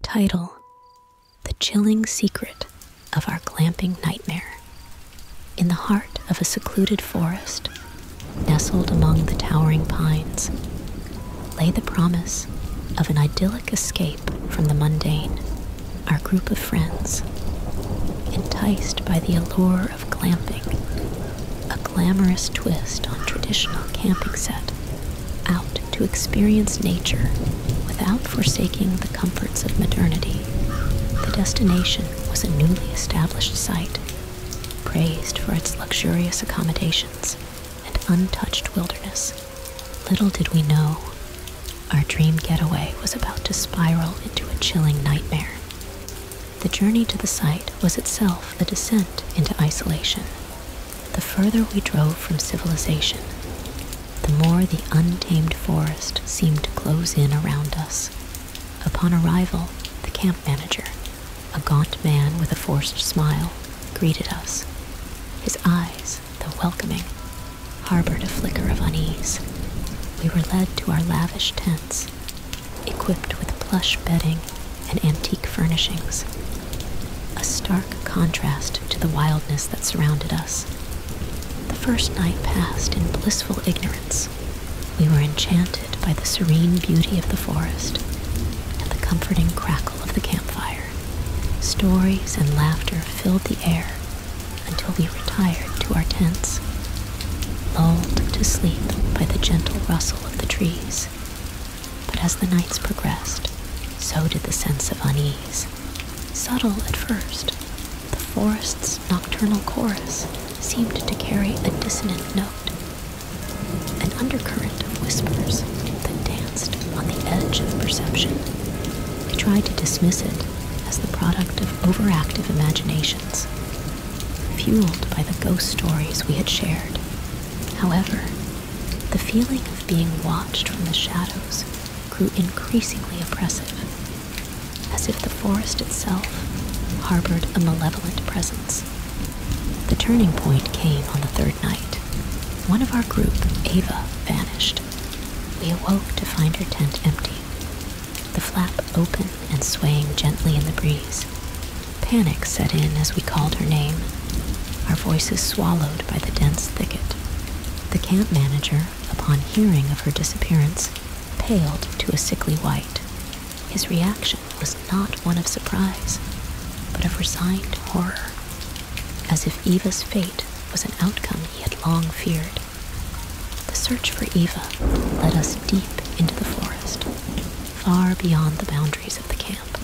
Title The Chilling Secret of Our Glamping Nightmare. In the heart of a secluded forest, nestled among the towering pines, lay the promise of an idyllic escape from the mundane. Our group of friends, enticed by the allure of glamping, a glamorous twist on traditional camping set, out to experience nature without forsaking the comforts of modernity. The destination was a newly established site, praised for its luxurious accommodations and untouched wilderness. Little did we know, our dream getaway was about to spiral into a chilling nightmare. The journey to the site was itself a descent into isolation, the further we drove from civilization, the more the untamed forest seemed to close in around us. Upon arrival, the camp manager, a gaunt man with a forced smile, greeted us. His eyes, though welcoming, harbored a flicker of unease. We were led to our lavish tents, equipped with plush bedding and antique furnishings. A stark contrast to the wildness that surrounded us. The first night passed in blissful ignorance. We were enchanted by the serene beauty of the forest and the comforting crackle of the campfire. Stories and laughter filled the air until we retired to our tents, lulled to sleep by the gentle rustle of the trees but as the nights progressed, so did the sense of unease. Subtle at first, the forest's nocturnal chorus seemed to carry a dissonant note, an undercurrent of whispers that danced on the edge of perception. I tried to dismiss it as the product of overactive imaginations, fueled by the ghost stories we had shared. However, the feeling being watched from the shadows grew increasingly oppressive, as if the forest itself harbored a malevolent presence. The turning point came on the third night. One of our group, Ava, vanished. We awoke to find her tent empty, the flap open and swaying gently in the breeze. Panic set in as we called her name our voices swallowed by the dense thicket. The camp manager, upon hearing of her disappearance, paled to a sickly white. His reaction was not one of surprise, but of resigned horror, as if Eva's fate was an outcome he had long feared. The search for Eva led us deep into the forest, far beyond the boundaries of the camp.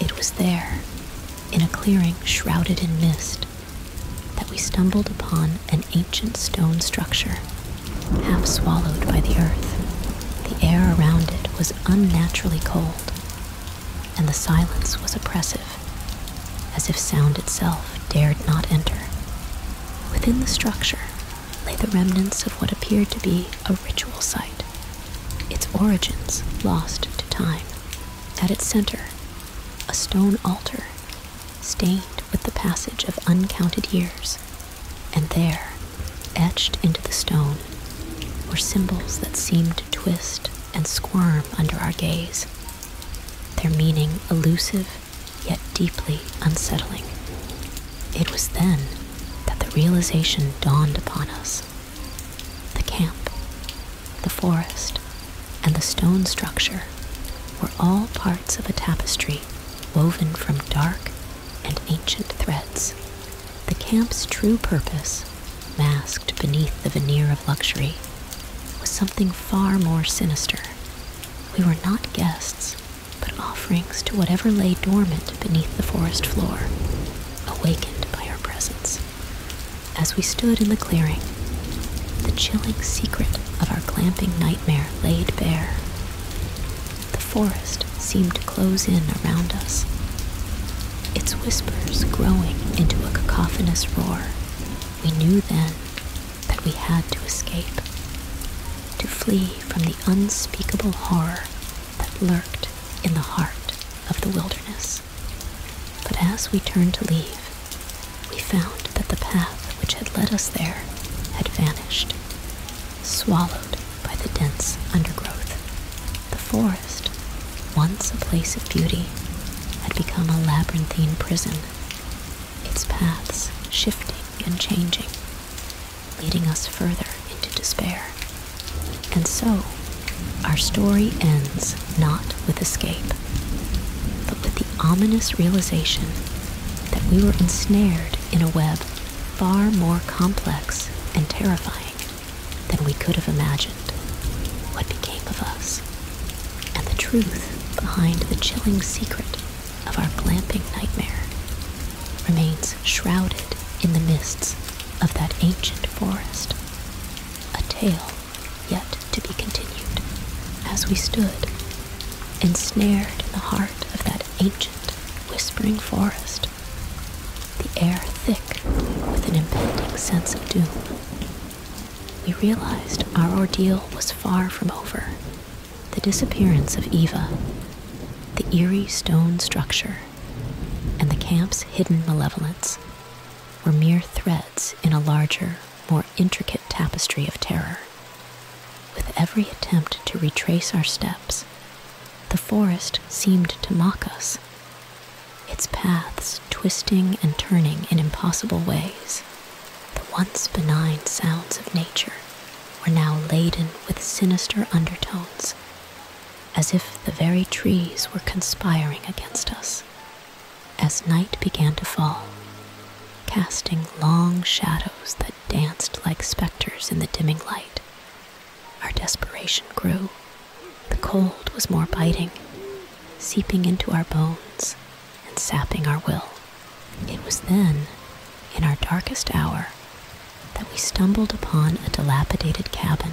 It was there, in a clearing shrouded in mist, that we stumbled upon an ancient stone structure, half swallowed by the earth. The air around it was unnaturally cold, and the silence was oppressive, as if sound itself dared not enter. Within the structure lay the remnants of what appeared to be a ritual site, its origins lost to time. At its center, a stone altar stained with the passage of uncounted years, and there, etched into the stone, were symbols that seemed to twist and squirm under our gaze, their meaning elusive yet deeply unsettling. It was then that the realization dawned upon us the camp, the forest, and the stone structure were all parts of a tapestry woven from dark and ancient threads. The camp's true purpose, masked beneath the veneer of luxury, was something far more sinister. We were not guests, but offerings to whatever lay dormant beneath the forest floor, awakened by our presence. As we stood in the clearing, the chilling secret of our clamping nightmare laid bare. The forest seemed to close in around us, its whispers growing into a cacophonous roar. We knew then that we had to escape, to flee from the unspeakable horror that lurked in the heart of the wilderness. But as we turned to leave, we found that the path which had led us there had vanished, swallowed by the dense undergrowth. The forest, once a place of beauty, had become a labyrinthine prison, its paths shifting and changing, leading us further into despair. And so, our story ends not with escape, but with the ominous realization that we were ensnared in a web far more complex and terrifying than we could have imagined. What became of us, and the truth behind the chilling secret of our glamping nightmare remains shrouded in the mists of that ancient forest a tale yet to be continued, as we stood, ensnared in the heart of that ancient, whispering forest, the air thick with an impending sense of doom. We realized our ordeal was far from over. The disappearance of Eva, the eerie stone structure, and the camp's hidden malevolence were mere threads in a larger, more intricate tapestry of terror. With every attempt to retrace our steps, the forest seemed to mock us, its paths twisting and turning in impossible ways. The once benign sounds of nature were now laden with sinister undertones, as if the very trees were conspiring against us. As night began to fall, casting long shadows that danced like specters in the dimming light, our desperation grew. The cold was more biting, seeping into our bones and sapping our will. It was then, in our darkest hour, that we stumbled upon a dilapidated cabin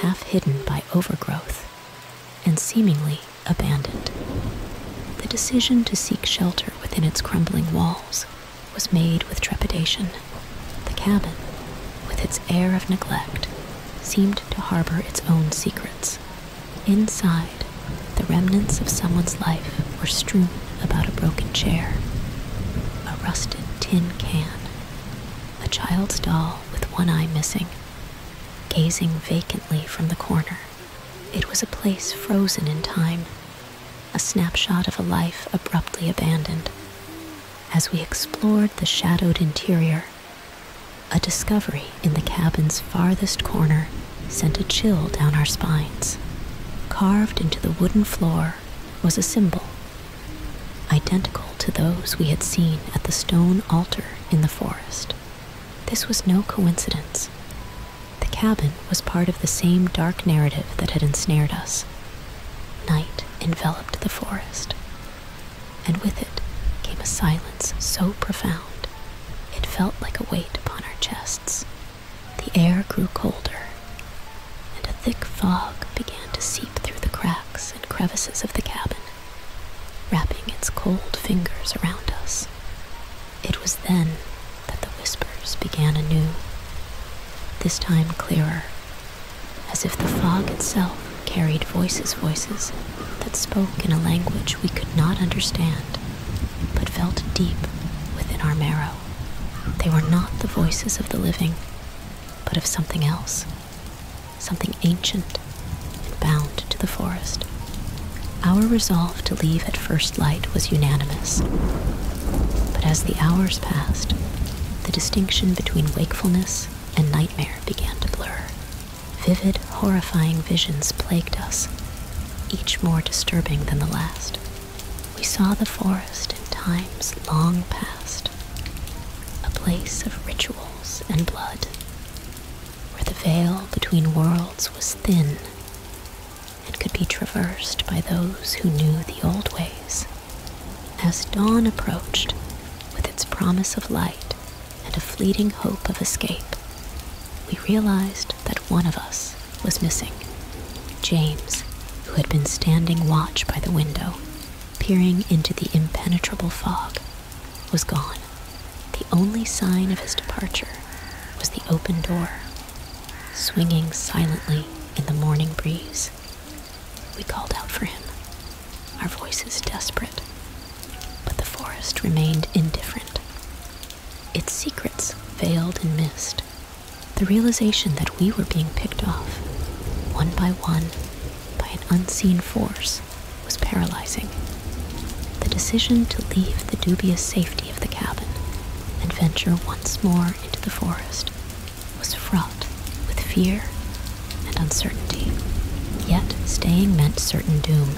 half hidden by overgrowth and seemingly abandoned. The decision to seek shelter within its crumbling walls was made with trepidation. The cabin, with its air of neglect, seemed to harbor its own secrets. Inside, the remnants of someone's life were strewn about a broken chair, a rusted tin can, a child's doll with one eye missing, gazing vacantly from the corner. It was a place frozen in time, a snapshot of a life abruptly abandoned. As we explored the shadowed interior, a discovery in the cabin's farthest corner sent a chill down our spines. Carved into the wooden floor was a symbol identical to those we had seen at the stone altar in the forest. This was no coincidence. The cabin was part of the same dark narrative that had ensnared us. Night enveloped the forest, and with it came a silence so profound it felt like a weight upon our chests. The air grew colder, and a thick fog began to seep through the cracks and crevices of the cabin, wrapping its cold fingers around us. It was then that the whispers began anew, this time clearer, as if the fog itself carried voices, voices that spoke in a language we could not understand, but felt deep within our marrow. They were not the voices of the living, but of something else something ancient and bound to the forest. Our resolve to leave at first light was unanimous. But as the hours passed, the distinction between wakefulness and nightmare began to blur. Vivid, horrifying visions plagued us, each more disturbing than the last. We saw the forest in times long past a place of rituals and blood, where the veil between worlds was thin and could be traversed by those who knew the old ways. As dawn approached, with its promise of light and a fleeting hope of escape, we realized that one of us was missing James, who had been standing watch by the window peering into the impenetrable fog, was gone. The only sign of his departure was the open door, swinging silently in the morning breeze. We called out for him, our voices desperate, but the forest remained indifferent. Its secrets veiled in mist. The realization that we were being picked off, one by one, by an unseen force was paralyzing. The decision to leave the dubious safety of the cabin and venture once more into the forest was fraught with fear and uncertainty. Yet staying meant certain doom.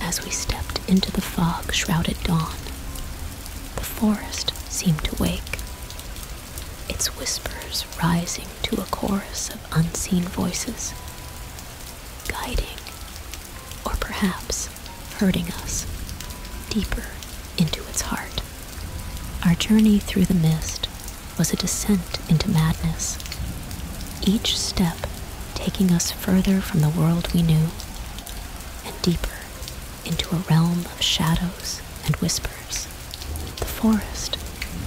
As we stepped into the fog shrouded dawn, the forest seemed to wake, its whispers rising to a chorus of unseen voices, guiding or perhaps hurting us deeper into its heart. Our journey through the mist was a descent into madness, each step taking us further from the world we knew and deeper into a realm of shadows and whispers. The forest,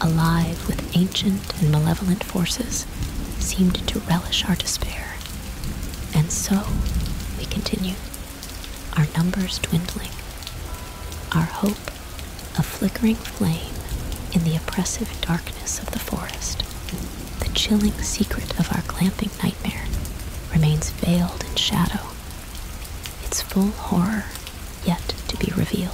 alive with ancient and malevolent forces, seemed to relish our despair. And so, we continued, our numbers dwindling, our hope a flickering flame in the oppressive darkness of the forest. The chilling secret of our clamping nightmare remains veiled in shadow. Its full horror yet to be revealed.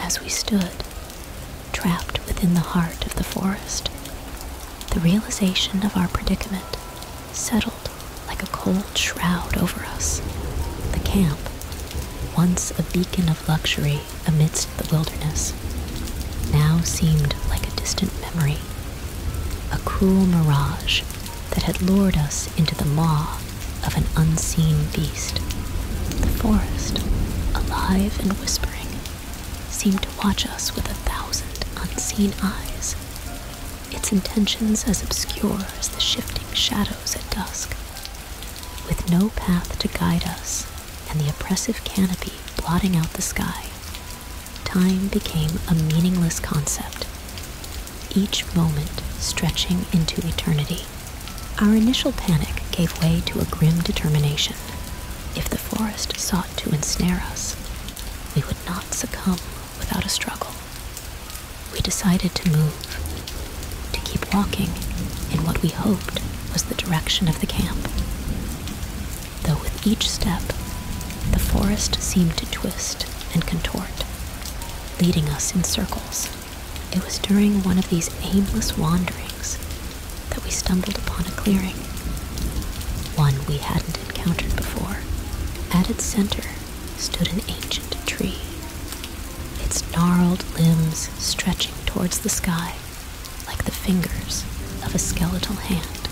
As we stood, trapped within the heart of the forest, the realization of our predicament settled like a cold shroud over us. The camp, once a beacon of luxury amidst the wilderness, now seemed like a distant memory a cruel mirage that had lured us into the maw of an unseen beast. The forest, alive and whispering, seemed to watch us with a thousand unseen eyes, its intentions as obscure as the shifting shadows at dusk. With no path to guide us and the oppressive canopy blotting out the sky, time became a meaningless concept, each moment stretching into eternity. Our initial panic gave way to a grim determination. If the forest sought to ensnare us, we would not succumb without a struggle. We decided to move, to keep walking in what we hoped was the direction of the camp though with each step, the forest seemed to twist and contort, leading us in circles. It was during one of these aimless wanderings that we stumbled upon a clearing, one we hadn't encountered before. At its center stood an ancient tree, its gnarled limbs stretching towards the sky like the fingers of a skeletal hand.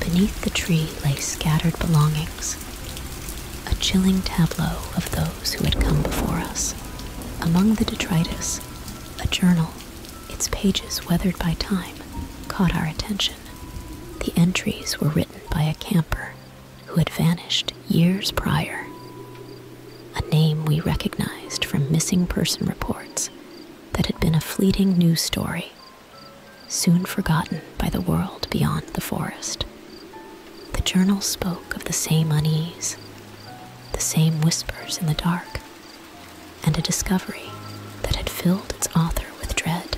Beneath the tree lay scattered belongings, a chilling tableau of those who had come before us. Among the detritus, a journal, its pages weathered by time, caught our attention. The entries were written by a camper who had vanished years prior, a name we recognized from missing person reports that had been a fleeting news story soon forgotten by the world beyond the forest. The journal spoke of the same unease, the same whispers in the dark, and a discovery that had filled its author with dread.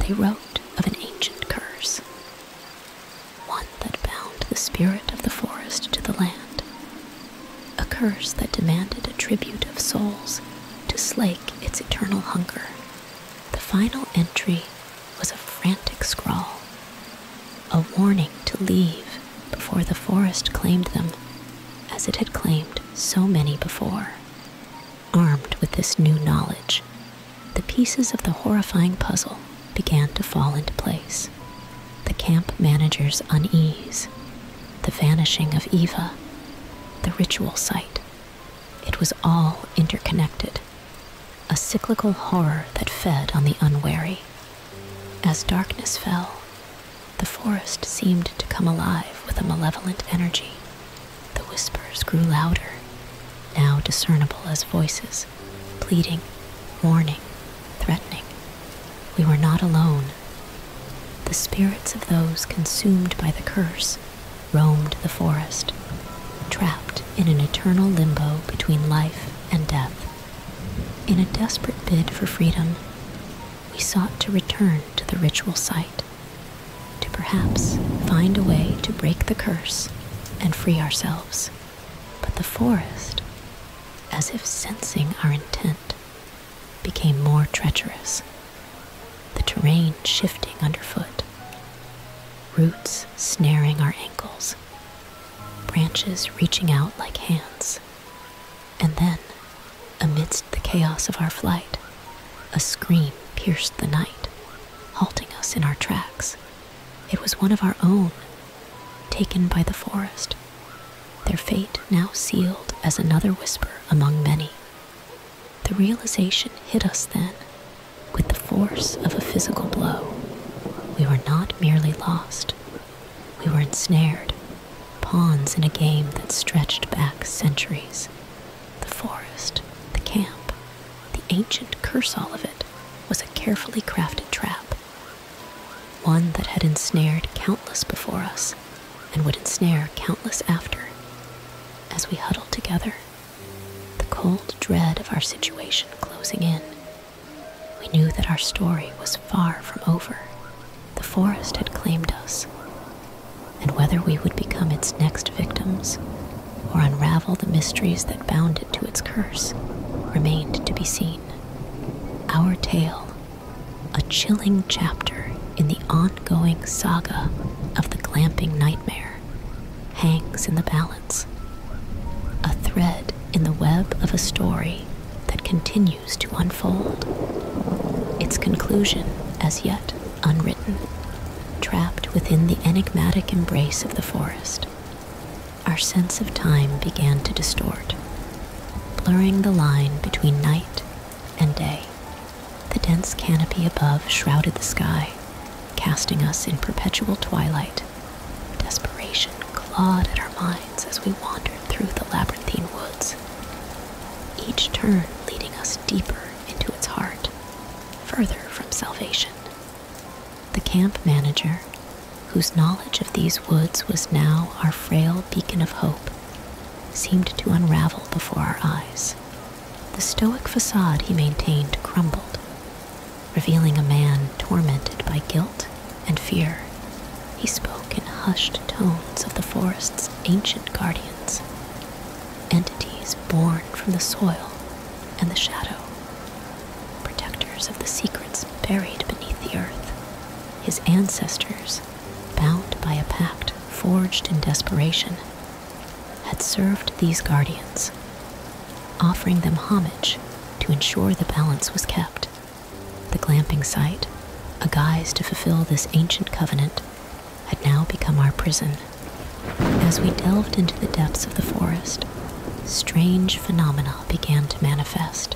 They wrote of an ancient curse, one that bound the spirit of the forest to the land, a curse that demanded a tribute of souls to slake its eternal hunger. The final entry was a frantic scrawl, a warning to leave before the forest claimed them, as it had claimed so many before. Armed with this new knowledge, the pieces of the horrifying puzzle began to fall into place. The camp manager's unease the vanishing of Eva, the ritual site. It was all interconnected, a cyclical horror that fed on the unwary. As darkness fell, the forest seemed to come alive with a malevolent energy. The whispers grew louder, now discernible as voices, pleading, warning, threatening. We were not alone. The spirits of those consumed by the curse roamed the forest, trapped in an eternal limbo between life and death. In a desperate bid for freedom, we sought to return to the ritual site, to perhaps find a way to break the curse and free ourselves. But the forest, as if sensing our intent, became more treacherous, the terrain shifting underfoot, roots snaring our ankles, branches reaching out like hands. And then, amidst the chaos of our flight, a scream pierced the night, halting us in our tracks. It was one of our own, taken by the forest, their fate now sealed as another whisper among many. The realization hit us then with the force of a physical blow. We were not merely lost, we were ensnared, pawns in a game that stretched back centuries. The forest, the camp, the ancient curse all of it was a carefully crafted trap, one that had ensnared countless before us and would ensnare countless after. As we huddled together, the cold dread of our situation closing in, we knew that our story was far from over. The forest had claimed us, and whether we would become its next victims or unravel the mysteries that bound it to its curse remained to be seen. Our tale a chilling chapter in the ongoing saga of the clamping nightmare hangs in the balance, a thread in the web of a story that continues to unfold, its conclusion as yet unwritten, trapped within the enigmatic embrace of the forest. Our sense of time began to distort, blurring the line between night and day. The dense canopy above shrouded the sky, casting us in perpetual twilight. Desperation clawed at our minds as we wandered through the labyrinthine woods, each turn leading us deeper into its heart, further from salvation. The camp manager, whose knowledge of these woods was now our frail beacon of hope, seemed to unravel before our eyes. The stoic facade he maintained crumbled, revealing a man tormented by guilt and fear. He spoke in hushed tones of the forest's ancient guardians, entities born from the soil and the shadow, protectors of the secrets buried beneath the earth. His ancestors bound by a pact forged in desperation, had served these guardians, offering them homage to ensure the balance was kept. The glamping site, a guise to fulfill this ancient covenant, had now become our prison. As we delved into the depths of the forest, strange phenomena began to manifest.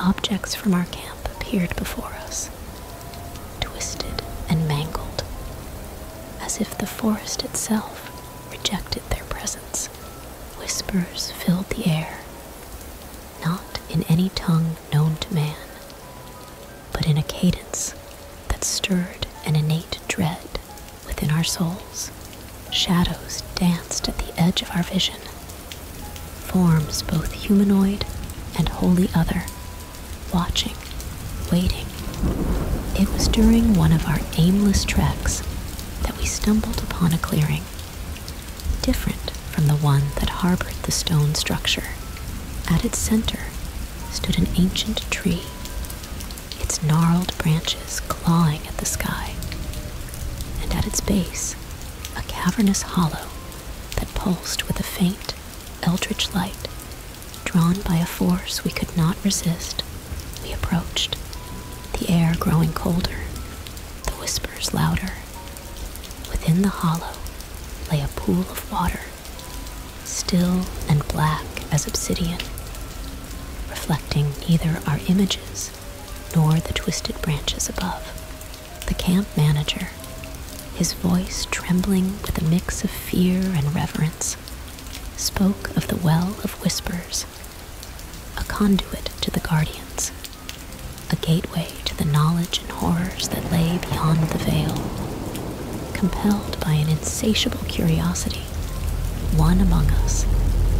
Objects from our camp appeared before us, twisted and mangled, as if the forest itself rejected their presence. Whispers filled the air, not in any tongue known to man, but in a cadence that stirred an innate dread within our souls. Shadows danced at the edge of our vision, forms both humanoid and wholly other watching, waiting. It was during one of our aimless treks that we stumbled upon a clearing, different from the one that harbored the stone structure. At its center stood an ancient tree, its gnarled branches clawing at the sky, and at its base, a cavernous hollow that pulsed with a faint, eldritch light. Drawn by a force we could not resist, we approached, the air growing colder, the whispers louder. Within the hollow lay a pool of water, still and black as obsidian, reflecting neither our images nor the twisted branches above the camp manager, his voice trembling with a mix of fear and reverence, spoke of the Well of Whispers, a conduit to the Guardians, a gateway to the knowledge and horrors that lay beyond the veil. Compelled by an insatiable curiosity, one among us,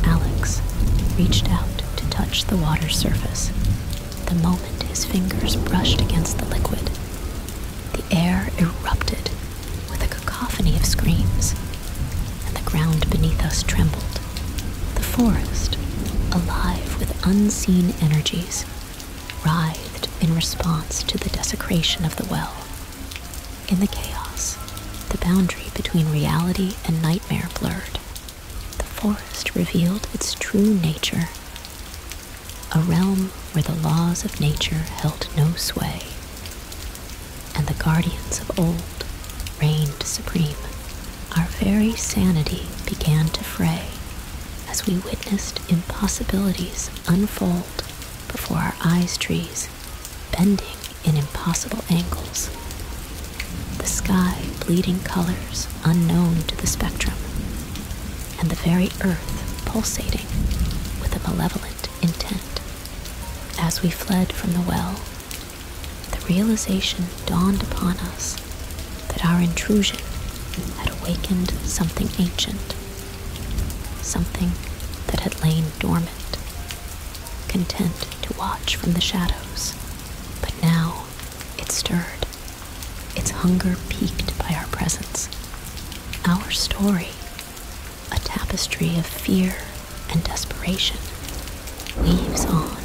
Alex, reached out to touch the water's surface. The moment his fingers brushed against the liquid, the air erupted with a cacophony of screams, and the ground beneath us trembled. The forest, alive with unseen energies, writhed in response to the desecration of the well. In the chaos, the boundary between reality and nightmare blurred. The forest revealed its true nature a realm where the laws of nature held no sway, and the guardians of old reigned supreme. Our very sanity began to fray as we witnessed impossibilities unfold before our eyes trees, bending in impossible angles. The sky bleeding colors unknown to the spectrum and the very earth pulsating with a malevolent intent. As we fled from the well, the realization dawned upon us that our intrusion had awakened something ancient, something that had lain dormant, content to watch from the shadows. But now it stirred its hunger piqued by our presence. Our story, a tapestry of fear and desperation, weaves on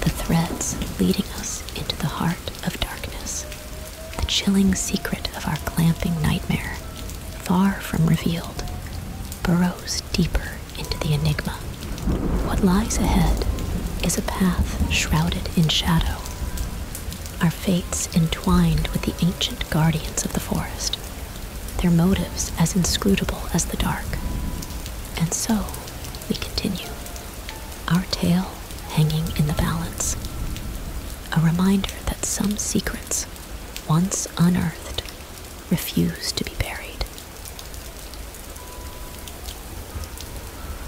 the threads leading us into the heart of darkness, the chilling secret of our clamping nightmare, far from revealed, burrows deeper into the enigma. What lies ahead is a path shrouded in shadow our fates entwined with the ancient guardians of the forest, their motives as inscrutable as the dark. And so we continue, our tale hanging in the balance. A reminder that some secrets, once unearthed, refuse to be buried.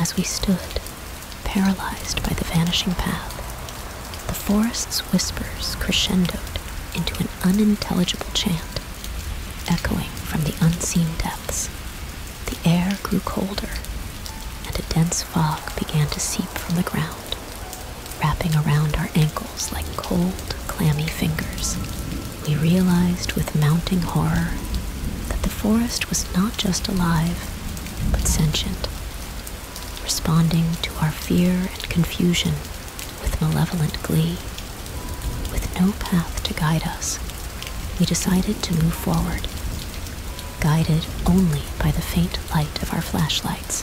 As we stood, paralyzed by the vanishing path, the forest's whispers crescendoed into an unintelligible chant, echoing from the unseen depths. The air grew colder, and a dense fog began to seep from the ground, wrapping around our ankles like cold, clammy fingers. We realized with mounting horror that the forest was not just alive, but sentient responding to our fear and confusion with malevolent glee. With no path to guide us, we decided to move forward, guided only by the faint light of our flashlights,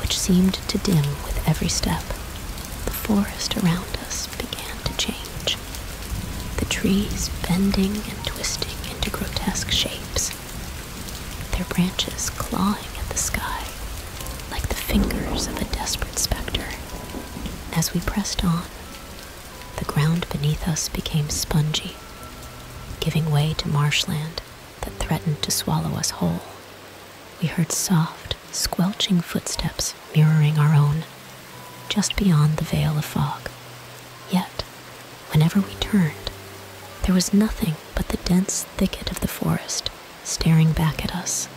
which seemed to dim with every step. The forest around us began to change, the trees bending and twisting into grotesque shapes their branches clawing at the sky like the fingers of a desperate specter. As we pressed on, the ground beneath us became spongy, giving way to marshland that threatened to swallow us whole. We heard soft, squelching footsteps mirroring our own, just beyond the veil of fog. Yet, whenever we turned, there was nothing but the dense thicket of the forest staring back at us.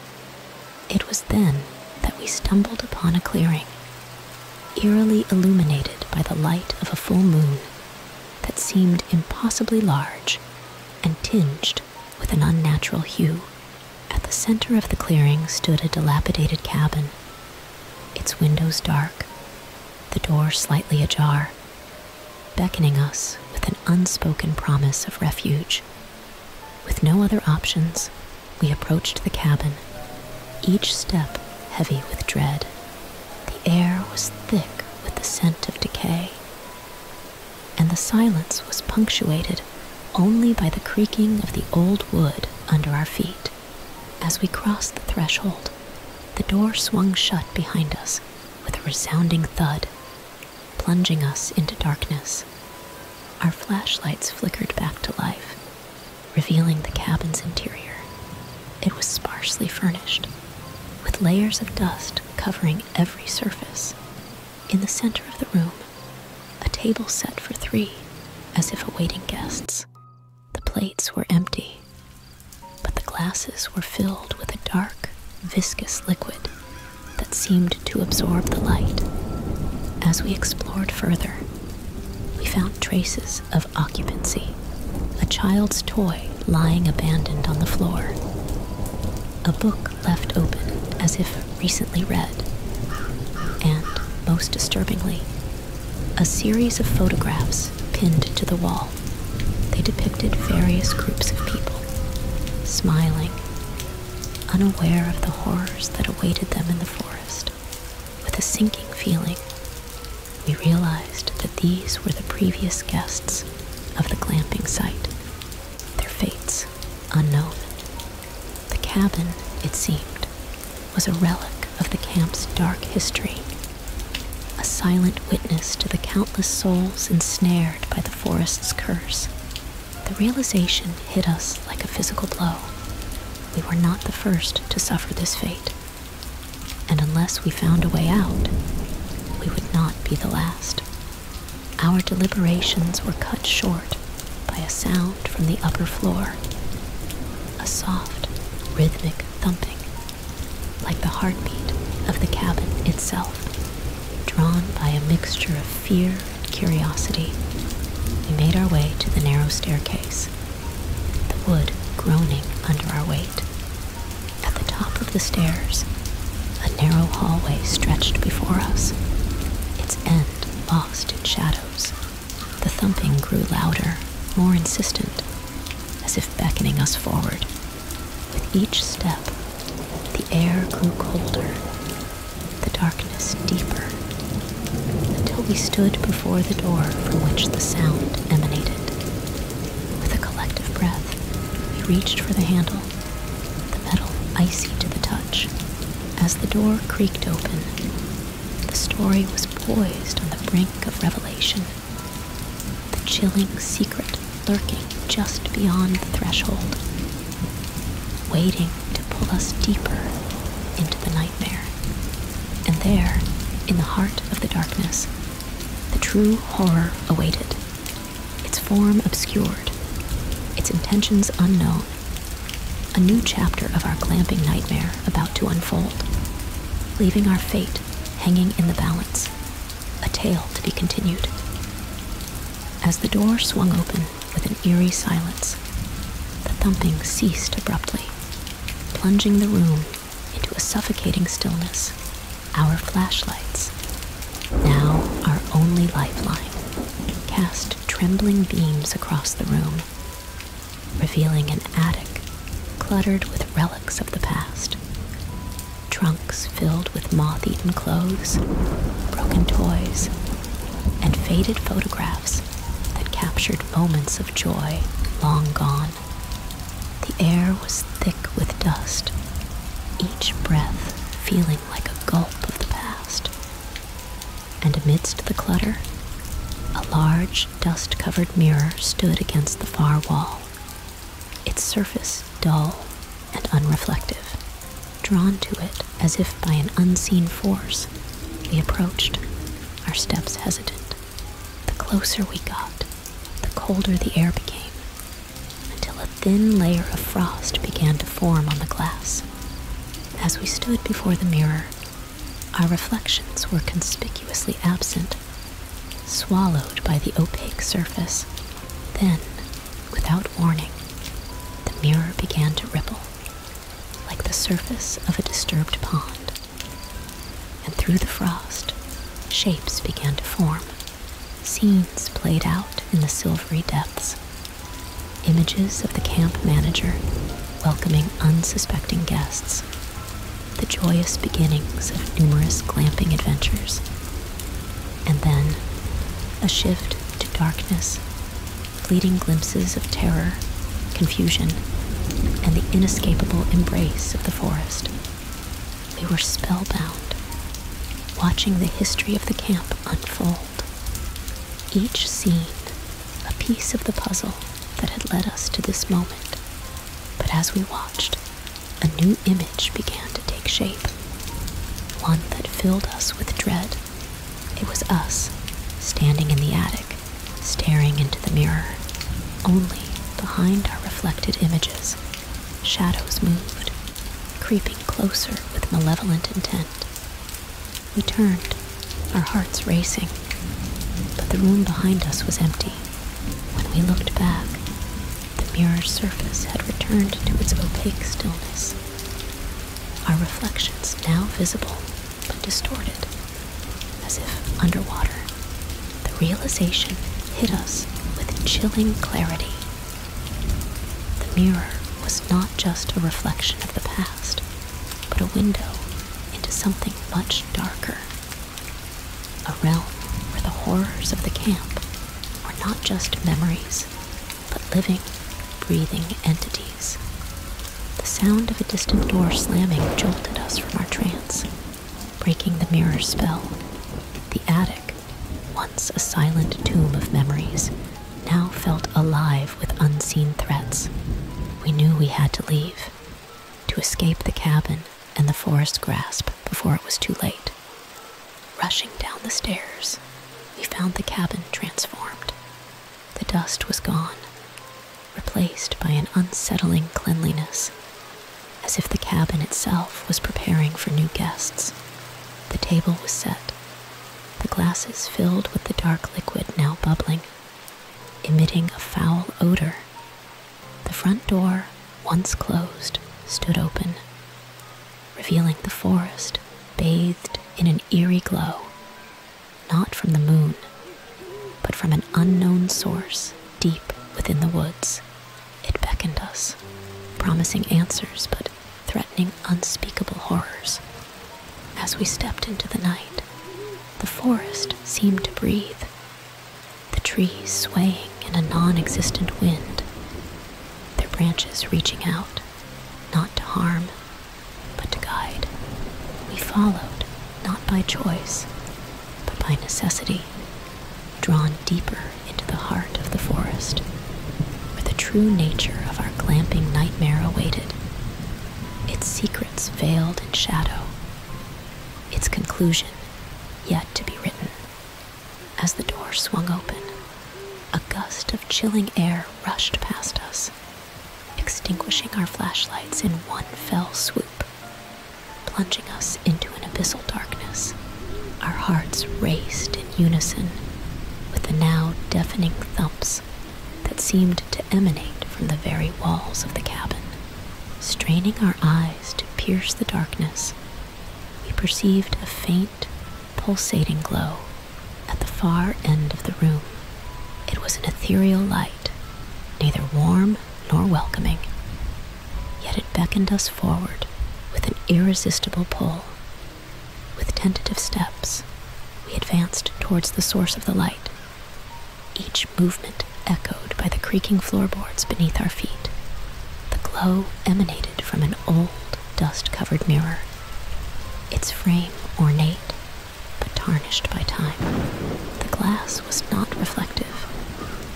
It was then that we stumbled upon a clearing, eerily illuminated by the light of a full moon that seemed impossibly large and tinged with an unnatural hue. At the center of the clearing stood a dilapidated cabin, its windows dark, the door slightly ajar, beckoning us with an unspoken promise of refuge. With no other options, we approached the cabin, each step heavy with dread. The air was thick with the scent of decay, and the silence was punctuated only by the creaking of the old wood under our feet. As we crossed the threshold, the door swung shut behind us with a resounding thud plunging us into darkness. Our flashlights flickered back to life, revealing the cabin's interior. It was sparsely furnished, with layers of dust covering every surface. In the center of the room, a table set for three, as if awaiting guests. The plates were empty, but the glasses were filled with a dark, viscous liquid that seemed to absorb the light. As we explored further, we found traces of occupancy a child's toy lying abandoned on the floor, a book left open as if recently read, and, most disturbingly, a series of photographs pinned to the wall they depicted various groups of people, smiling, unaware of the horrors that awaited them in the forest. With a sinking feeling, we realized that these were the previous guests of the glamping site, their fates unknown. The cabin, it seemed, was a relic of the camp's dark history, a silent witness to the countless souls ensnared by the forest's curse. The realization hit us like a physical blow. We were not the first to suffer this fate, and unless we found a way out, we would not be the last. Our deliberations were cut short by a sound from the upper floor a soft, rhythmic thumping like the heartbeat of the cabin itself, drawn by a mixture of fear and curiosity. We made our way to the narrow staircase, the wood groaning under our weight. At the top of the stairs, a narrow hallway stretched before us, its end lost in shadows. The thumping grew louder, more insistent, as if beckoning us forward. With each step, the air grew colder, the darkness deeper, until we stood before the door from which the sound emanated. With a collective breath, we reached for the handle, the metal icy to the touch. As the door creaked open, the story was poised on the brink of revelation the chilling secret lurking just beyond the threshold, waiting to pull us deeper into the nightmare. And there, in the heart of the darkness, the true horror awaited, its form obscured, its intentions unknown. A new chapter of our clamping nightmare about to unfold, leaving our fate hanging in the balance. A tale to be continued. As the door swung open with an eerie silence, the thumping ceased abruptly, plunging the room into a suffocating stillness. Our flashlights, now our only lifeline, cast trembling beams across the room, revealing an attic cluttered with relics of the past trunks filled with moth eaten clothes, broken toys, and faded photographs that captured moments of joy long gone. The air was thick with dust, each breath feeling like a gulp of the past. And amidst the clutter, a large dust covered mirror stood against the far wall, its surface dull and unreflective. Drawn to it as if by an unseen force, we approached, our steps hesitant. The closer we got, the colder the air became, until a thin layer of frost began to form on the glass. As we stood before the mirror, our reflections were conspicuously absent swallowed by the opaque surface. Then, without warning, the mirror began to ripple, like the surface of a disturbed pond. And through the frost, shapes began to form. Scenes played out in the silvery depths. Images of the camp manager welcoming unsuspecting guests. The joyous beginnings of numerous glamping adventures and then a shift to darkness, fleeting glimpses of terror, confusion, and the inescapable embrace of the forest. We were spellbound, watching the history of the camp unfold. Each scene, a piece of the puzzle that had led us to this moment. But as we watched, a new image began to take shape, one that filled us with dread. It was us, standing in the attic, staring into the mirror. Only behind our reflected images, shadows moved, creeping closer with malevolent intent. We turned, our hearts racing, but the room behind us was empty. When we looked back, the mirror's surface had returned to its opaque stillness. Our reflections now visible but distorted, as if underwater. The realization hit us with chilling clarity. The mirror was not just a reflection of the past, but a window into something much darker, a realm where the horrors of the camp were not just memories, but living, breathing entities. The sound of a distant door slamming jolted us from our trance, breaking the mirror spell. The attic, once a silent tomb of memories, now felt alive with unseen threats. We knew we had to leave, to escape the cabin and the forest grasp before it was too late. Rushing down the stairs, we found the cabin transformed. The dust was gone, replaced by an unsettling cleanliness, as if the cabin itself was preparing for new guests. The table was set, the glasses filled with the dark liquid now bubbling, emitting a foul odor the front door, once closed, stood open, revealing the forest bathed in an eerie glow, not from the moon, but from an unknown source deep within the woods. It beckoned us, promising answers but threatening unspeakable horrors. As we stepped into the night, the forest seemed to breathe, the trees swaying in a non existent wind, their branches reaching out, not to harm, but to guide. We followed, not by choice, but by necessity, drawn deeper into the heart of the forest, where the true nature of our clamping nightmare awaited, its secrets veiled in shadow, its conclusion yet to be written. As the door swung open, a gust of chilling air rushed past us, extinguishing our flashlights in one fell swoop, plunging us into an abyssal darkness. Our hearts raced in unison with the now deafening thumps that seemed to emanate from the very walls of the cabin. Straining our eyes to pierce the darkness, we perceived a faint, pulsating glow at the far end of the room. It was an ethereal light, neither warm nor welcoming, yet it beckoned us forward with an irresistible pull. With tentative steps, we advanced towards the source of the light, each movement echoed by the creaking floorboards beneath our feet. The glow emanated from an old, dust covered mirror, its frame ornate but tarnished by time. The glass was not reflective,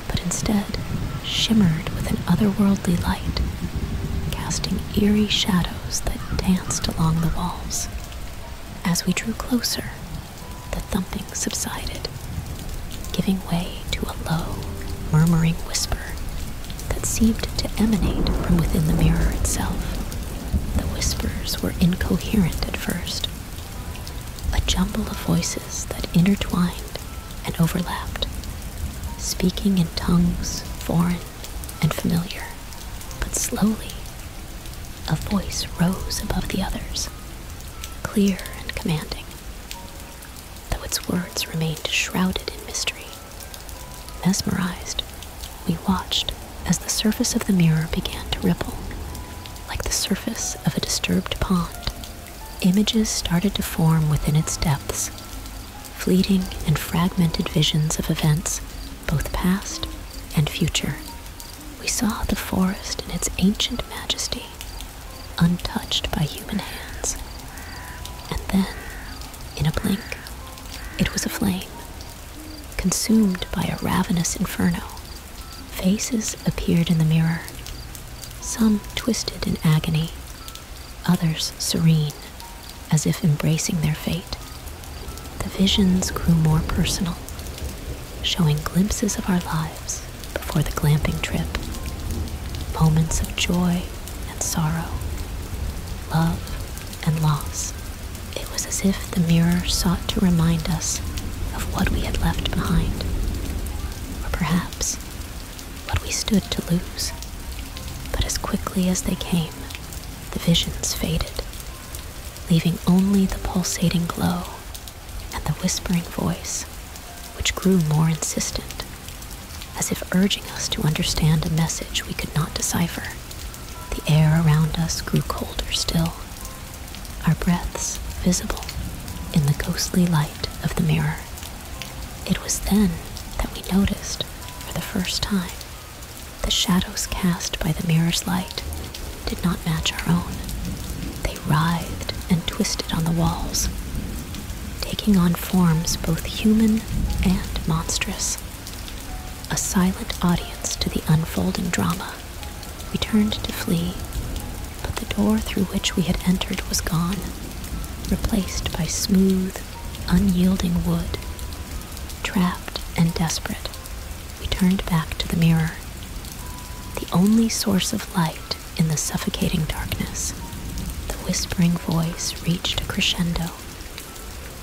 but instead shimmered with an otherworldly light, casting eerie shadows that danced along the walls. As we drew closer, the thumping subsided, giving way to a low, murmuring whisper that seemed to emanate from within the mirror itself. The whispers were incoherent at first, a jumble of voices that intertwined and overlapped, speaking in tongues foreign and familiar. But slowly, a voice rose above the others, clear and commanding though its words remained shrouded in mystery. Mesmerized, we watched as the surface of the mirror began to ripple, like the surface of a disturbed pond. Images started to form within its depths, fleeting and fragmented visions of events, both past and future. We saw the forest in its ancient majesty untouched by human hands. And then, in a blink, it was a flame, consumed by a ravenous inferno. Faces appeared in the mirror, some twisted in agony, others serene, as if embracing their fate. The visions grew more personal, showing glimpses of our lives before the glamping trip. Moments of joy and sorrow, love and loss. It was as if the mirror sought to remind us of what we had left behind, or perhaps what we stood to lose. But as quickly as they came, the visions faded, leaving only the pulsating glow and the whispering voice which grew more insistent, as if urging us to understand a message we could not decipher. The air around us grew colder still, our breaths visible in the ghostly light of the mirror. It was then that we noticed, for the first time, the shadows cast by the mirror's light did not match our own. They writhed and twisted on the walls, taking on forms both human and monstrous. A silent audience to the unfolding drama, we turned to flee, but the door through which we had entered was gone, replaced by smooth, unyielding wood. Trapped and desperate, we turned back to the mirror. The only source of light in the suffocating darkness. The whispering voice reached a crescendo,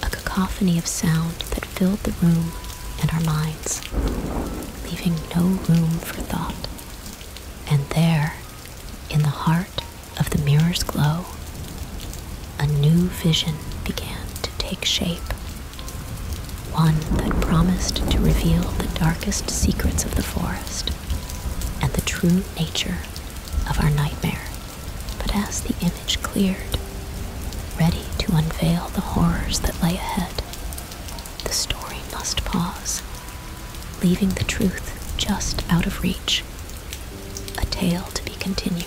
a cacophony of sound that filled the room and our minds, leaving no room for thought. And there, in the heart of the mirror's glow, a new vision began to take shape. One that promised to reveal the darkest secrets of the forest and the true nature of our nightmare. But as the image cleared, ready to unveil the horrors that lay ahead, the story must pause, leaving the truth just out of reach, a tale to be continued.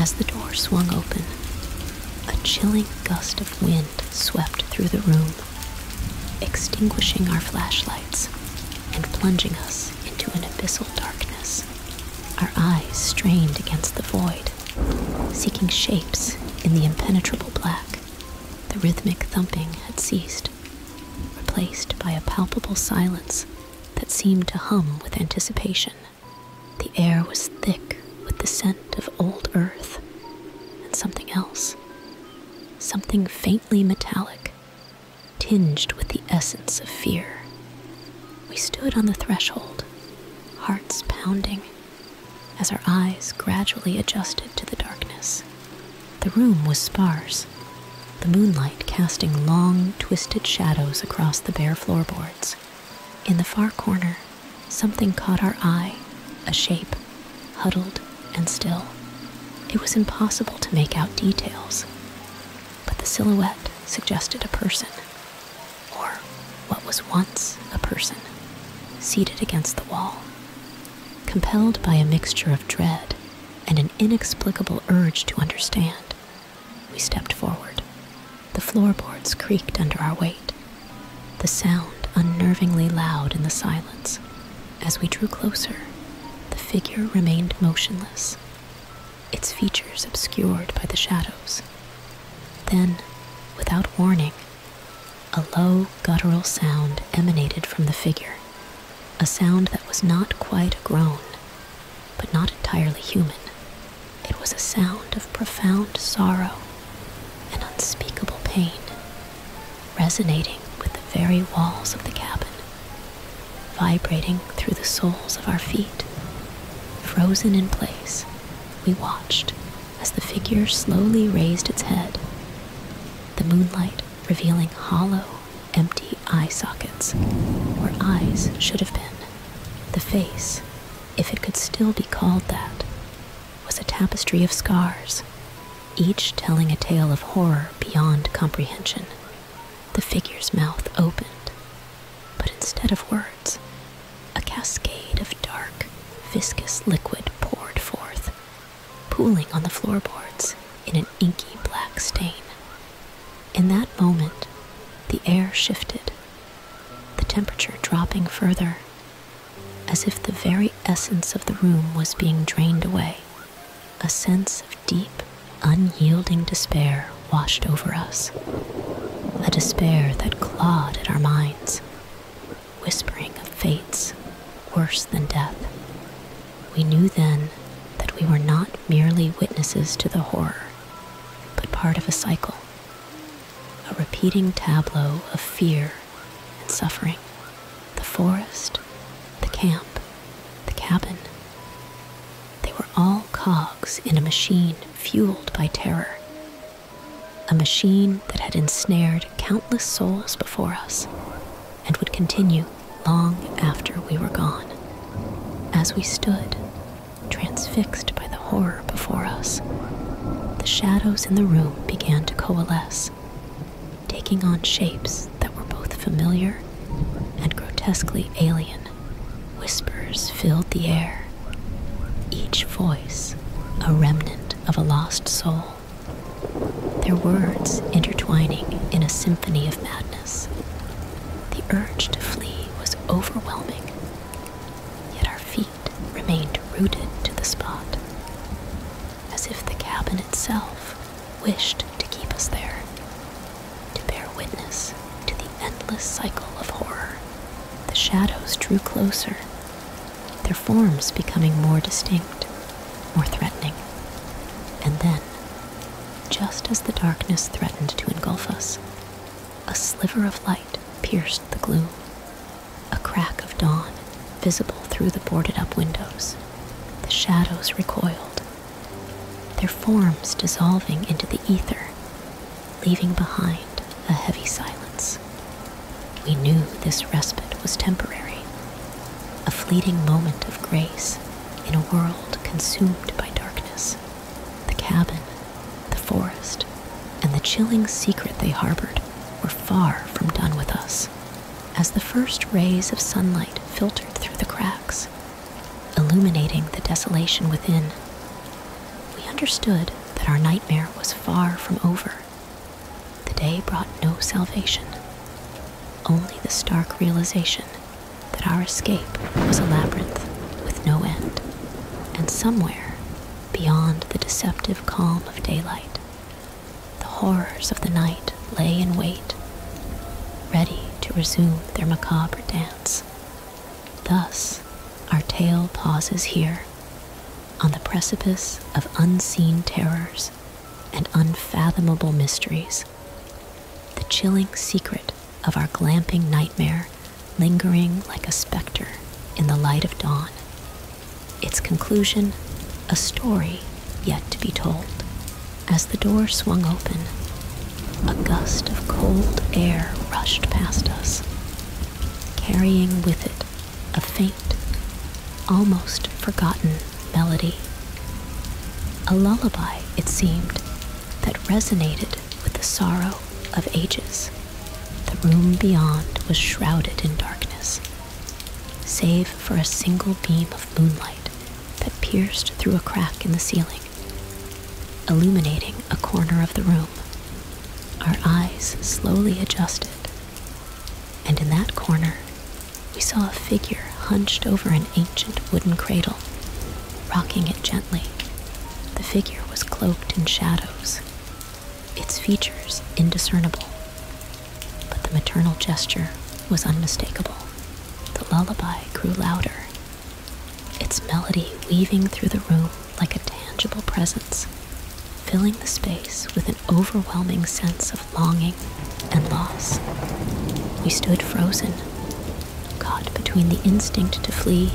As the door swung open, a chilling gust of wind swept through the room, extinguishing our flashlights and plunging us into an abyssal darkness our eyes strained against the void, seeking shapes in the impenetrable black. The rhythmic thumping had ceased, replaced by a palpable silence that seemed to hum with anticipation. The air was thick with the scent of old earth and something else, something faintly metallic, tinged with the essence of fear. We stood on the threshold, hearts pounding, as our eyes gradually adjusted to the darkness. The room was sparse, the moonlight casting long, twisted shadows across the bare floorboards. In the far corner, something caught our eye a shape, huddled and still. It was impossible to make out details, but the silhouette suggested a person or what was once a person, seated against the wall. Compelled by a mixture of dread and an inexplicable urge to understand, we stepped forward. The floorboards creaked under our weight, the sound unnervingly loud in the silence. As we drew closer, the figure remained motionless, its features obscured by the shadows. Then, without warning, a low guttural sound emanated from the figure, a sound that was not quite a groan, but not entirely human. It was a sound of profound sorrow and unspeakable pain, resonating with the very walls of the cabin, vibrating through the soles of our feet Frozen in place, we watched as the figure slowly raised its head, the moonlight revealing hollow, empty eye sockets where eyes should have been. The face, if it could still be called that, was a tapestry of scars, each telling a tale of horror beyond comprehension. The figure's mouth opened, but instead of words, a cascade of dark, viscous liquid poured forth, pooling on the floorboards in an inky black stain. In that moment, the air shifted, the temperature dropping further, as if the very essence of the room was being drained away, a sense of deep, unyielding despair washed over us, a despair that clawed at our minds, whispering of fates worse than death. We knew then that we were not merely witnesses to the horror, but part of a cycle, a repeating tableau of fear and suffering. The forest, the camp, the cabin. They were all caught in a machine fueled by terror. A machine that had ensnared countless souls before us and would continue long after we were gone. As we stood, transfixed by the horror before us, the shadows in the room began to coalesce, taking on shapes that were both familiar and grotesquely alien. Whispers filled the air, each voice a remnant of a lost soul, their words intertwining in a symphony of madness. The urge to flee was overwhelming, yet our feet remained rooted to the spot, as if the cabin itself wished to keep us there to bear witness to the endless cycle of horror. The shadows drew closer, their forms becoming more distinct, more threatening. And then, just as the darkness threatened to engulf us, a sliver of light pierced the gloom, a crack of dawn visible through the boarded up windows. The shadows recoiled, their forms dissolving into the ether leaving behind a heavy silence. We knew this respite was temporary, a fleeting moment of grace in a world consumed by darkness. The cabin, the forest, and the chilling secret they harbored were far from done with us. As the first rays of sunlight filtered through the cracks, illuminating the desolation within. We understood that our nightmare was far from over. The day brought no salvation, only the stark realization that our escape was a labyrinth with no end, and somewhere beyond the deceptive calm of daylight, the horrors of the night lay in wait, ready to resume their macabre dance. Thus, our tale pauses here, on the precipice of unseen terrors and unfathomable mysteries, the chilling secret of our glamping nightmare lingering like a specter in the light of dawn. Its conclusion, a story yet to be told, as the door swung open a gust of cold air rushed past us, carrying with it a faint, almost forgotten melody. A lullaby, it seemed, that resonated with the sorrow of ages. The room beyond was shrouded in darkness, save for a single beam of moonlight that pierced through a crack in the ceiling, illuminating a corner of the room. Our eyes slowly adjusted, and in that corner, we saw a figure hunched over an ancient wooden cradle, rocking it gently. The figure was cloaked in shadows, its features indiscernible, but the maternal gesture was unmistakable. The lullaby grew louder its melody weaving through the room like a tangible presence, filling the space with an overwhelming sense of longing and loss. We stood frozen, caught between the instinct to flee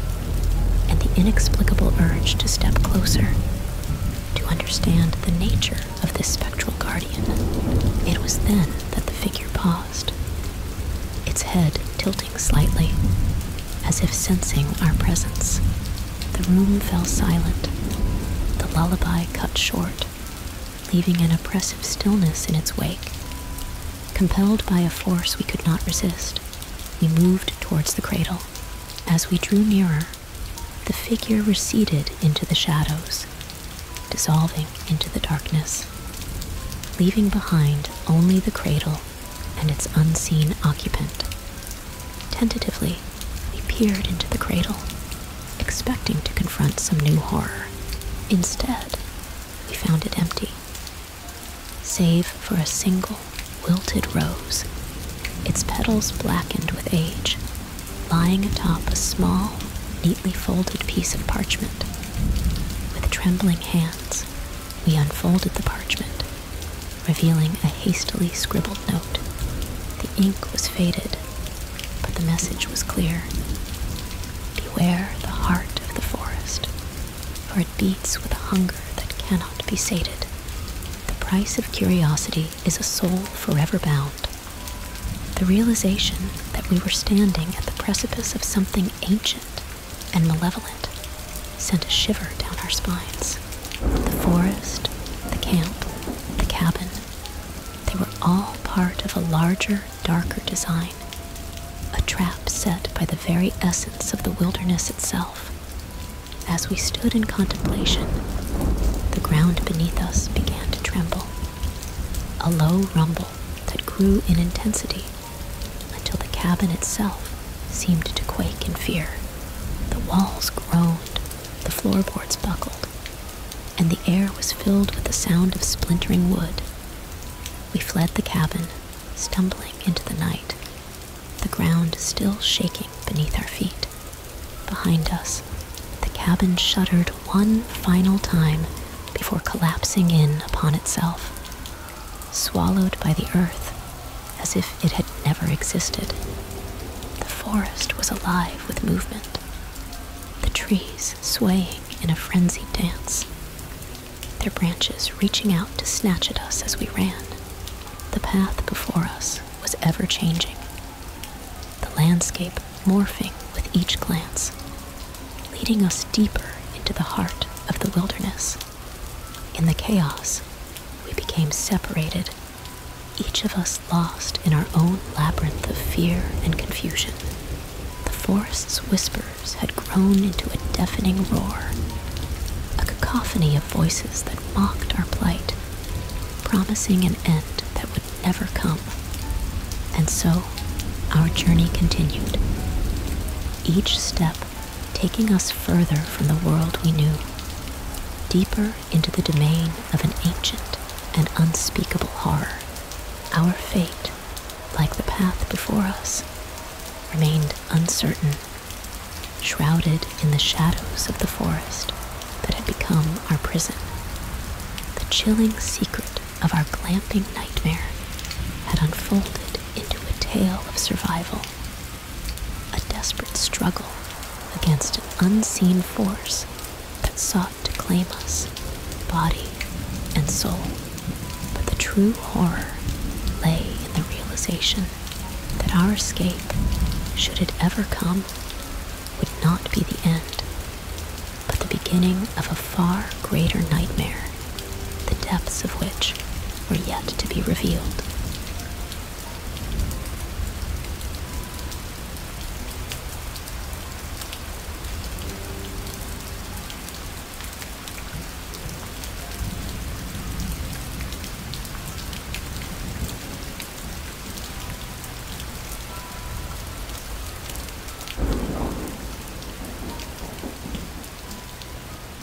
and the inexplicable urge to step closer, to understand the nature of this spectral guardian. It was then that the figure paused, its head tilting slightly as if sensing our presence. The room fell silent, the lullaby cut short, leaving an oppressive stillness in its wake. Compelled by a force we could not resist, we moved towards the cradle. As we drew nearer, the figure receded into the shadows, dissolving into the darkness, leaving behind only the cradle and its unseen occupant. Tentatively, we peered into the cradle, expecting to confront some new horror. Instead, we found it empty, save for a single wilted rose, its petals blackened with age, lying atop a small, neatly folded piece of parchment. With trembling hands, we unfolded the parchment, revealing a hastily scribbled note. The ink was faded, but the message was clear. Beware the heart of the forest, for it beats with a hunger that cannot be sated. The price of curiosity is a soul forever bound. The realization that we were standing at the precipice of something ancient and malevolent sent a shiver down our spines. The forest, the camp, the cabin, they were all part of a larger, darker design, a trap set by the very essence of the wilderness itself. As we stood in contemplation, the ground beneath us began to tremble. A low rumble that grew in intensity until the cabin itself seemed to quake in fear. The walls groaned, the floorboards buckled, and the air was filled with the sound of splintering wood. We fled the cabin, stumbling into the night, the ground still shaking beneath our feet. Behind us, the cabin shuddered one final time before collapsing in upon itself swallowed by the earth as if it had never existed. The forest was alive with movement, the trees swaying in a frenzied dance, their branches reaching out to snatch at us as we ran. The path before us was ever changing, the landscape morphing with each glance, leading us deeper into the heart of the wilderness. In the chaos, we became separated, each of us lost in our own labyrinth of fear and confusion. The forest's whispers had grown into a deafening roar, a cacophony of voices that mocked our plight, promising an end that would never come. And so, our journey continued. Each step taking us further from the world we knew, deeper into the domain of an ancient and unspeakable horror. Our fate, like the path before us, remained uncertain, shrouded in the shadows of the forest that had become our prison. The chilling secret of our glamping nightmare had unfolded into a tale of survival, a desperate struggle against an unseen force that sought to claim us, body and soul. But the true horror lay in the realization that our escape, should it ever come, would not be the end, but the beginning of a far greater nightmare the depths of which were yet to be revealed.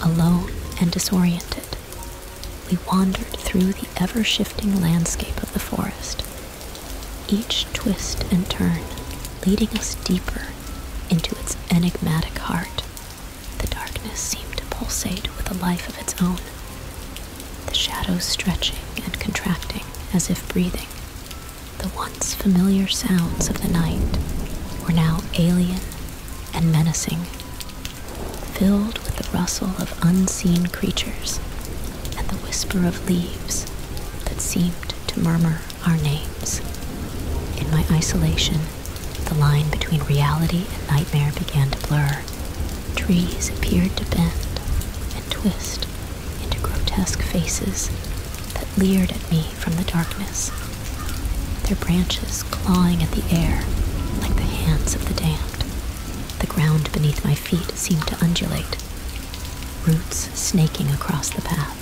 Alone and disoriented, we wandered through the ever shifting landscape of the forest, each twist and turn leading us deeper into its enigmatic heart. The darkness seemed to pulsate with a life of its own, the shadows stretching and contracting as if breathing. The once familiar sounds of the night were now alien and menacing, filled with the rustle of unseen creatures and the whisper of leaves that seemed to murmur our names. In my isolation, the line between reality and nightmare began to blur trees appeared to bend and twist into grotesque faces that leered at me from the darkness, their branches clawing at the air like the hands of the damned. The ground beneath my feet seemed to undulate, roots snaking across the path,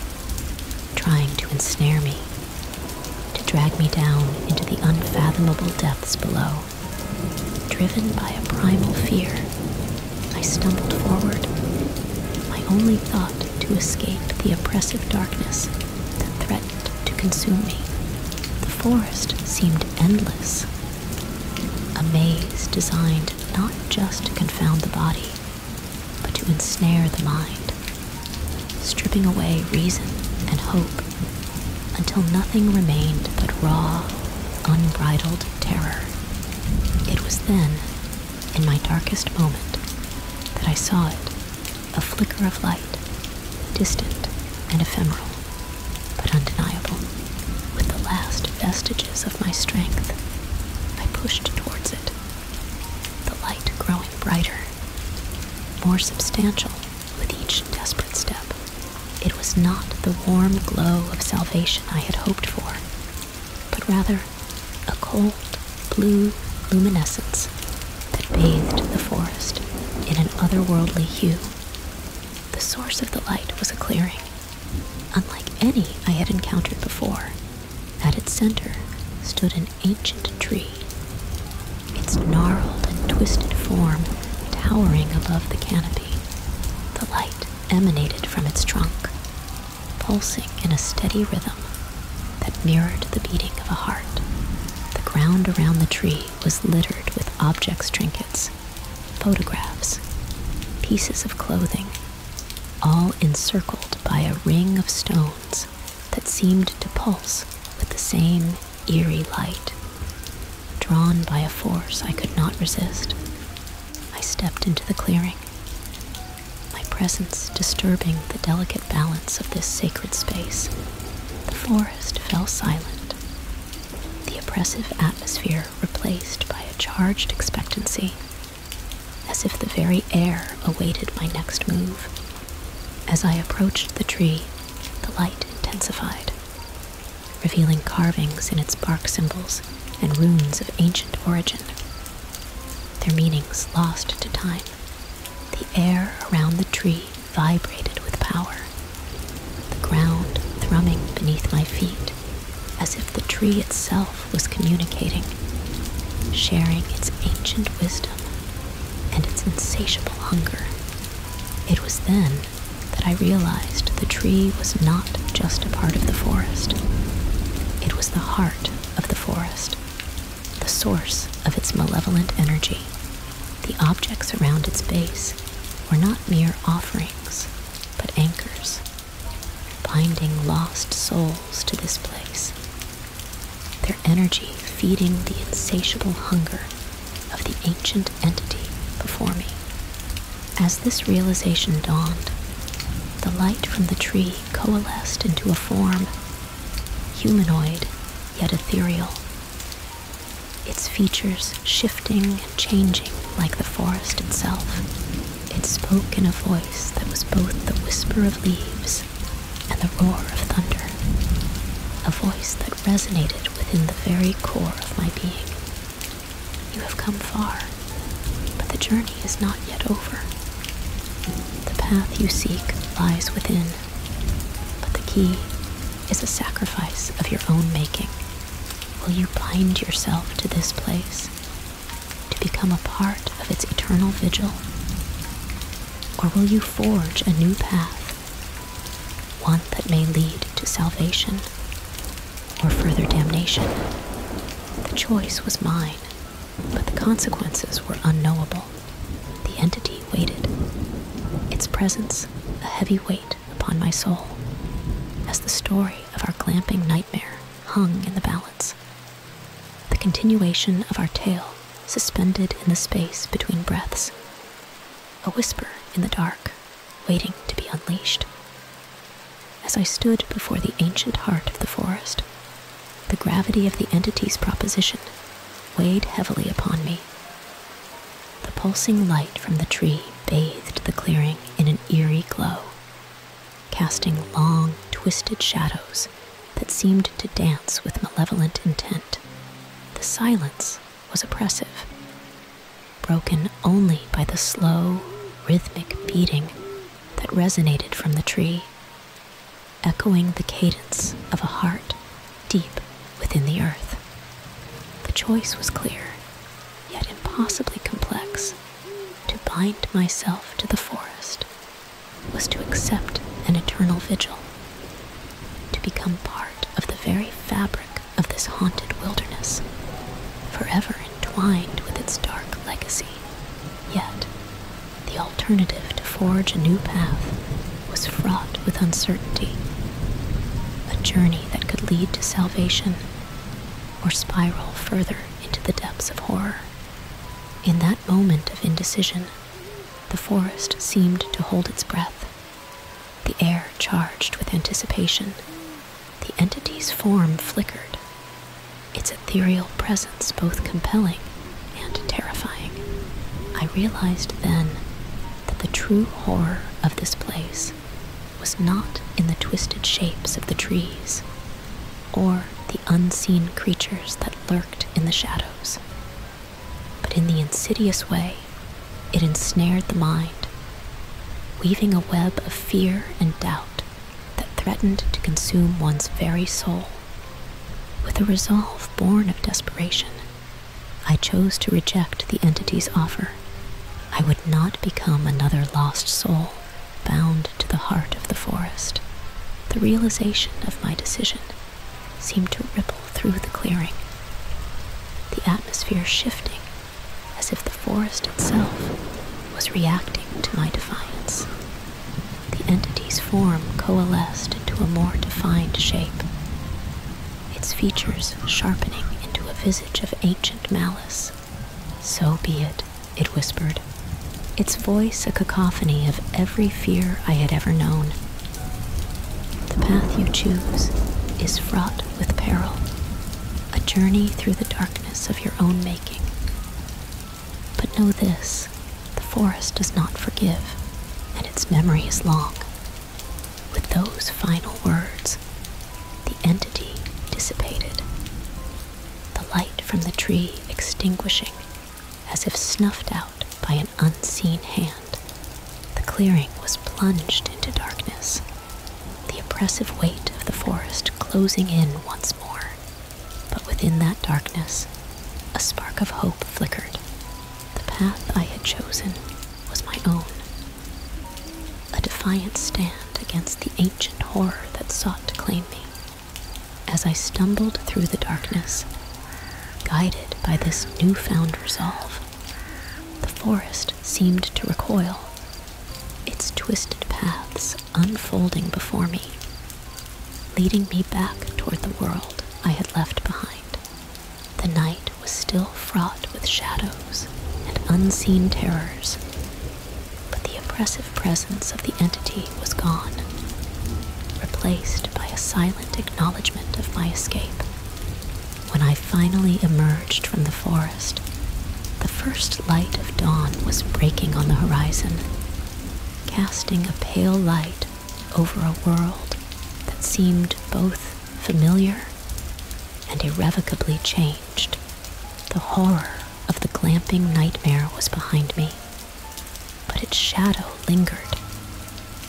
trying to ensnare me, to drag me down into the unfathomable depths below. Driven by a primal fear, I stumbled forward, my only thought to escape the oppressive darkness that threatened to consume me. The forest seemed endless, a maze designed not just to confound the body, but to ensnare the mind, stripping away reason and hope until nothing remained but raw, unbridled terror. It was then, in my darkest moment, that I saw it a flicker of light, distant and ephemeral, but undeniable. With the last vestiges of my strength, I pushed towards it, the light growing brighter, more substantial with each desperate step. It was not the warm glow of salvation I had hoped for, but rather a cold, blue luminescence that bathed the forest in an otherworldly hue. The source of the light was a clearing, unlike any I had encountered before. At its center stood an ancient tree. Its gnarled and twisted form towering above the canopy. The light emanated from its trunk, pulsing in a steady rhythm that mirrored the beating of a heart. The ground around the tree was littered with objects, trinkets, photographs, pieces of clothing, all encircled by a ring of stones that seemed to pulse with the same eerie light, drawn by a force I could not resist. I stepped into the clearing, my presence disturbing the delicate balance of this sacred space. The forest fell silent, the oppressive atmosphere replaced by a charged expectancy, as if the very air awaited my next move. As I approached the tree, the light intensified, revealing carvings in its bark symbols and runes of ancient origin. Their meanings lost to time, the air around the tree vibrated with power, the ground thrumming beneath my feet as if the tree itself was communicating, sharing its ancient wisdom and its insatiable hunger. It was then that I realized the tree was not just a part of the forest. It was the heart of the forest, the source of its malevolent energy. The objects around its base were not mere offerings, but anchors, binding lost souls to this place, their energy feeding the insatiable hunger of the ancient entity before me. As this realization dawned, the light from the tree coalesced into a form, humanoid yet ethereal, its features shifting and changing like the forest itself. It spoke in a voice that was both the whisper of leaves and the roar of thunder, a voice that resonated within the very core of my being. You have come far, but the journey is not yet over. The path you seek lies within, but the key is a sacrifice of your own making. Will you bind yourself to this place, to become a part of its eternal vigil? Or will you forge a new path one that may lead to salvation or further damnation. The choice was mine, but the consequences were unknowable. The entity waited, its presence a heavy weight upon my soul, as the story of our glamping nightmare hung in the balance. The continuation of our tale suspended in the space between breaths, a whisper in the dark waiting to be unleashed. As I stood before the ancient heart of the forest, the gravity of the entity's proposition weighed heavily upon me. The pulsing light from the tree bathed the clearing in an eerie glow, casting long, twisted shadows that seemed to dance with malevolent intent. The silence was oppressive, broken only by the slow, rhythmic beating that resonated from the tree, echoing the cadence of a heart deep within the earth. The choice was clear, yet impossibly complex. To bind myself to the forest was to accept an eternal vigil to become part of the very fabric of this haunted wilderness, forever entwined with its dark legacy. Yet, the alternative to forge a new path was fraught with uncertainty, a journey that could lead to salvation or spiral further into the depths of horror. In that moment of indecision, the forest seemed to hold its breath, the air charged with anticipation. The entity's form flickered, its ethereal presence both compelling and terrifying. I realized then that the true horror of this place was not in the twisted shapes of the trees or the unseen creatures that lurked in the shadows but in the insidious way, it ensnared the mind, weaving a web of fear and doubt that threatened to consume one's very soul. With a resolve born of desperation, I chose to reject the entity's offer. I would not become another lost soul bound to the heart of the forest. The realization of my decision seemed to ripple through the clearing, the atmosphere shifting as if the forest itself was reacting to my defiance. The entity's form coalesced into a more defined shape, its features sharpening into a visage of ancient malice. So be it, it whispered, its voice a cacophony of every fear I had ever known. The path you choose is fraught with peril, a journey through the darkness of your own making. But know this the forest does not forgive, and its memory is long. With those final words, the entity dissipated, the light from the tree extinguishing as if snuffed out by an unseen hand. The clearing was plunged into darkness, the oppressive weight of the forest closing in once more. But within that darkness, a spark of hope flickered. The path I had chosen was my own. A defiant stand against the ancient horror that sought to claim me. As I stumbled through the darkness, guided by this newfound resolve, the forest seemed to recoil, its twisted paths unfolding before me, leading me back toward the world I had left behind. The night was still fraught with shadows and unseen terrors, but the oppressive presence of the entity was gone, replaced by a silent acknowledgement of my escape. When I finally emerged from the forest, the first light of dawn was breaking on the horizon, casting a pale light over a world that seemed both familiar and irrevocably changed. The horror of the glamping nightmare was behind me, but its shadow lingered,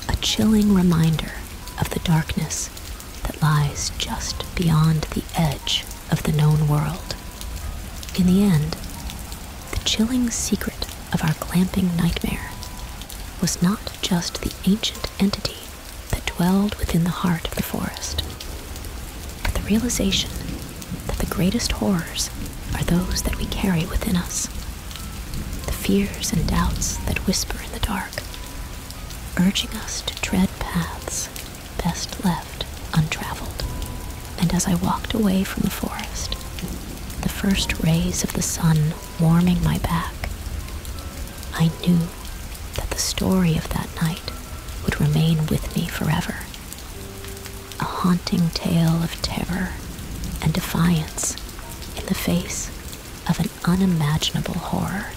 a chilling reminder of the darkness that lies just beyond the edge of the known world. In the end, the chilling secret of our clamping nightmare was not just the ancient entity that dwelled within the heart of the forest, but the realization that the greatest horrors are those that we carry within us, the fears and doubts that whisper in the dark urging us to tread paths best left untraveled. And as I walked away from the forest, the first rays of the sun warming my back, I knew that the story of that night would remain with me forever. A haunting tale of terror and defiance in the face of an unimaginable horror.